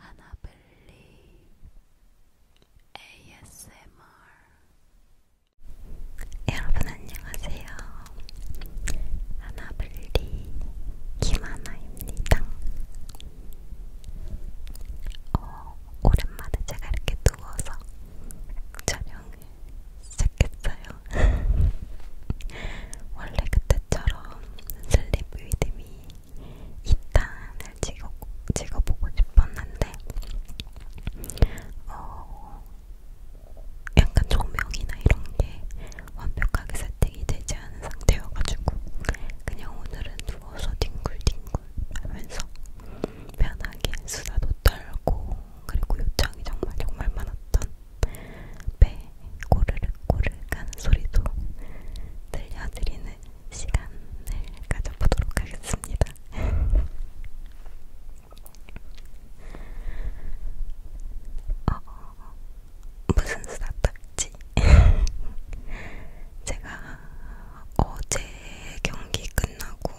And I believe ASMR. 여러분 안녕하세요. 하나블리 김하나입니다. 어, 오랜만에 제가 이렇게 누워서 촬영을 시작했어요. 원래 그때처럼 슬립 리듬이 2탄을 찍어, 찍어보고 싶었는데 어, 약간 조명이나 이런게 완벽하게 세팅이 되지 않은 상태여가지고 그냥 오늘은 누워서 뒹굴뒹굴 하면서 편하게 수다도 떨고 그리고 요청이 정말 정말 많았던 배 꼬르륵 꼬르륵 하는 소리도 들려드리는 시간을 가져보도록 하겠습니다. 어, 어, 어, 무슨 수다딱지? 제가 어제 경기 끝나고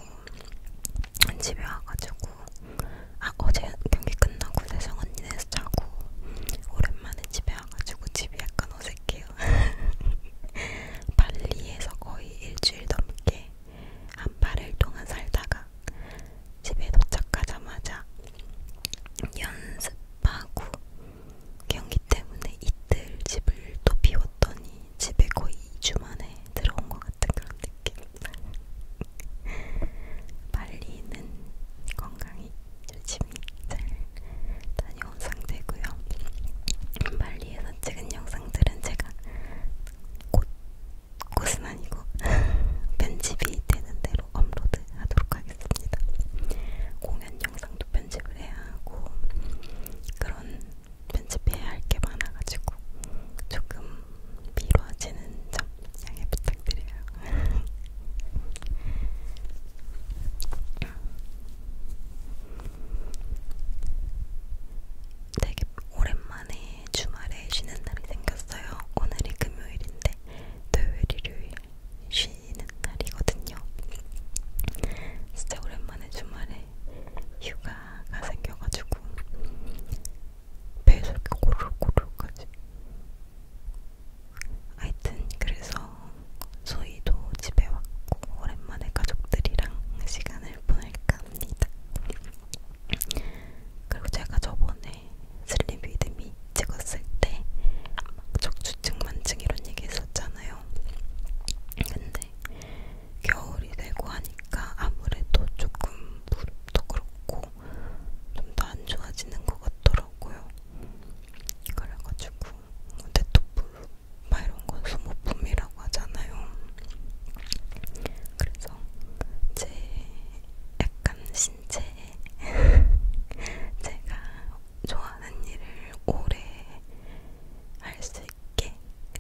집에 와가지고 자고 아 어제 경기 끝나고 세상 언니네서 자고 오랜만에 집에 와가지고 집이 약간 어색해요. 발리에서 거의 일주일 넘게 한 8일 동안 살다가 집에 도착하자마자 연습하고 경기 때문에 이틀 집을 또 비웠더니 집에 거의 2주 만에 들어온 것 같은 그런 느낌. 빨리는 건강히 조심히 잘 다녀온 상태고요. 빨리에서 찍은 영상들은 제가 곧 곳은 아니고 편집이 되는 대로 업로드하도록 하겠습니다. 공연 영상도 편집을 해야 하고 그런 편집해야 할 게 많아가지고 조금 미뤄지는 점 양해 부탁드려요. 되게 오랜만에 주말에 쉬는 날이 생겼어요. 오늘이 금요일인데 토요일, 일요일 쉬는 날이거든요. 진짜 오랜만에 주말에 휴가가 생겨가지고 배에서 이렇게 고루고루까지. 하여튼 그래서 저희도 집에 왔고 오랜만에 가족들이랑 시간을 보낼까 합니다. 그리고 제가 저번에 슬립위드미 찍었을 때 적주증 만증 이런 얘기 했었잖아요. 근데 겨울이 되고 하니까 아무래도 조금 기억도 그렇고 좀 더 안 좋아지는 것 같더라고요. 그래가지고 근데 또 블루 막 이런 건 소모품이라고 하잖아요. 그래서 제 약간 신체 제가 좋아하는 일을 오래 할 수 있게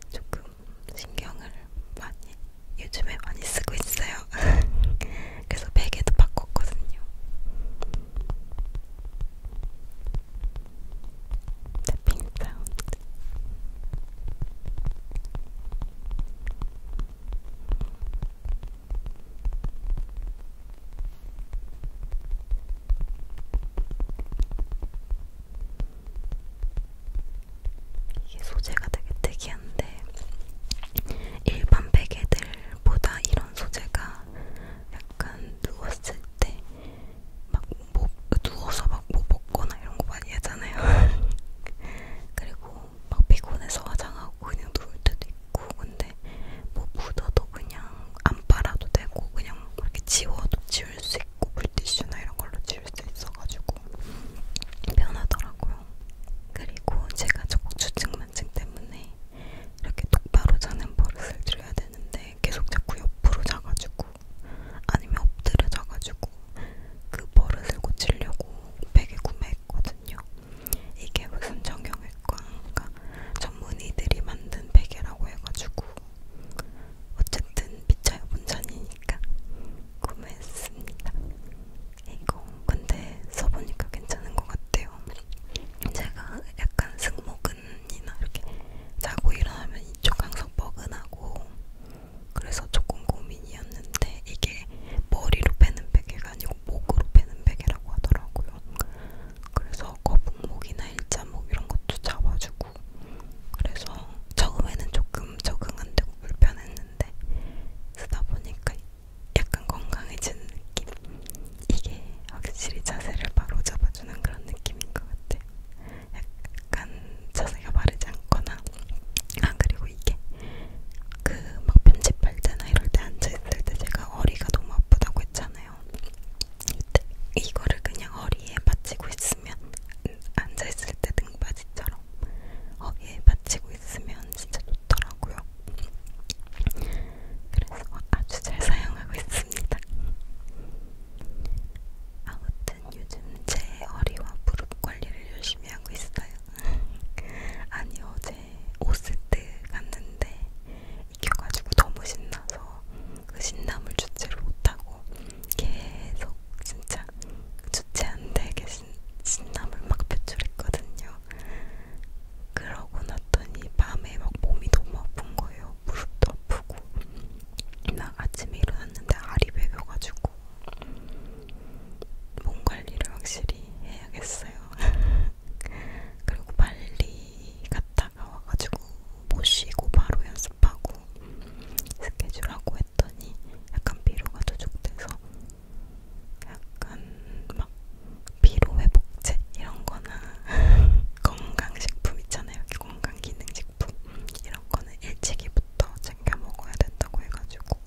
조금 신경을 많이 요즘에 많이 쓰고 있어요. 그래서 베개도 바꿨거든요. 탭핑 사운드. 이게 소재가 되게 특이한데 일반 베개들보다 이런 소재가 약간 누웠을 때막 뭐, 누워서 막뭐 먹거나 이런 거 많이 하잖아요. 그리고 막 피곤해서 화장하고 그냥 누울 때도 있고 근데 뭐 묻어도 그냥 안 빨아도 되고 그냥 이렇게 지워도 지울 수 있고 물티슈나 이런 걸로 지울 수 있어가지고 편하더라고요. 그리고 제가 저주증만증 때문에 이렇게 똑바로 자는 버릇을 들여야 되는데 계속 자꾸 옆으로 자가지고 아니면 엎드려 자가지고 그 버릇을 고치려고 베개 구매했거든요. 이게 무슨 정형외과인가 전문의들이 만든 베개라고 해가지고 어쨌든 미쳐요 본전이니까 구매했습니다. 이거 근데 써보니까 괜찮은 것 같아요. 제가 약간 승모근이나 이렇게 자고 일어나면 이쪽 항상 뻐근하고 그래서 조금 고민이었는데 이게 머리로 빼는 베개가 아니고 목으로 빼는 베개라고 하더라고요. 그래서 거북목이나 일자목 이런 것도 잡아주고 하고 그래서 처음에는 조금 적응 안 되고 불편했는데 쓰다 보니까 약간 건강해지는 느낌? 이게 확실히 자세를 바로 잡아주는 그런 느낌인 것 같아요. 약간 자세가 바르지 않거나 아 그리고 이게 그 막 편집할 때나 이럴 때 앉아있을 때 제가 허리가 너무 아프다고 했잖아요. 이거를 그냥 허리에 받치고 있으면 앉아있을 때 등받이처럼 어, 예, 받치고 있으면 진짜 좋더라고요. 그래서 아주 잘 사용하고 있습니다. 아무튼 요즘 제 허리와 무릎 관리를 열심히 하고 있어요. 아니 어제 오스트 갔는데 익혀가지고 너무 신나서 그 신남을 주체를 못하고 계속 진짜 주체 안 되게 신, 신남을 막 표출했거든요. 그러고 났더니 밤에 막 몸이 너무 아픈 거예요. 무릎도 아프고 막 아침에 일어났는데 알이 베겨가지고 몸 관리를 확실히 해야겠어요. 그리고 빨리 갔다 이따가 와가지고 모시고 바로 연습하고 스케줄하고 했더니 약간 피로가 누적돼서 약간 막 피로 회복제 이런 거나 건강식품 있잖아요. 건강기능식품 이런 거는 일찍이부터 챙겨 먹어야 된다고 해가지고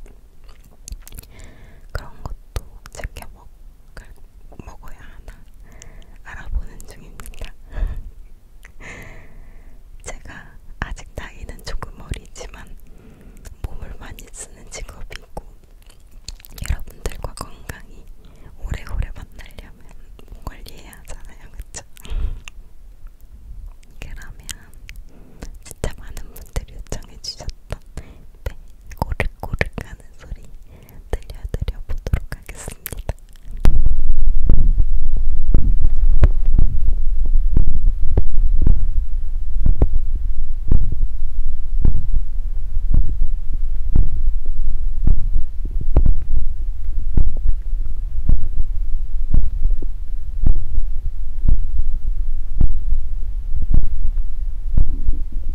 그런 것도 챙겨 먹을, 먹어야 하나 알아보는 중입니다. 제가 아직 나이는 조금 어리지만 몸을 많이 쓰는 직업이고 여러분들과 건강히 오래오래 만나려면 몸 관리해야 하잖아요, 그쵸? 그러면 진짜 많은 분들이 요청해주셨던 배 고르고르 가는 소리 들려드려 보도록 하겠습니다.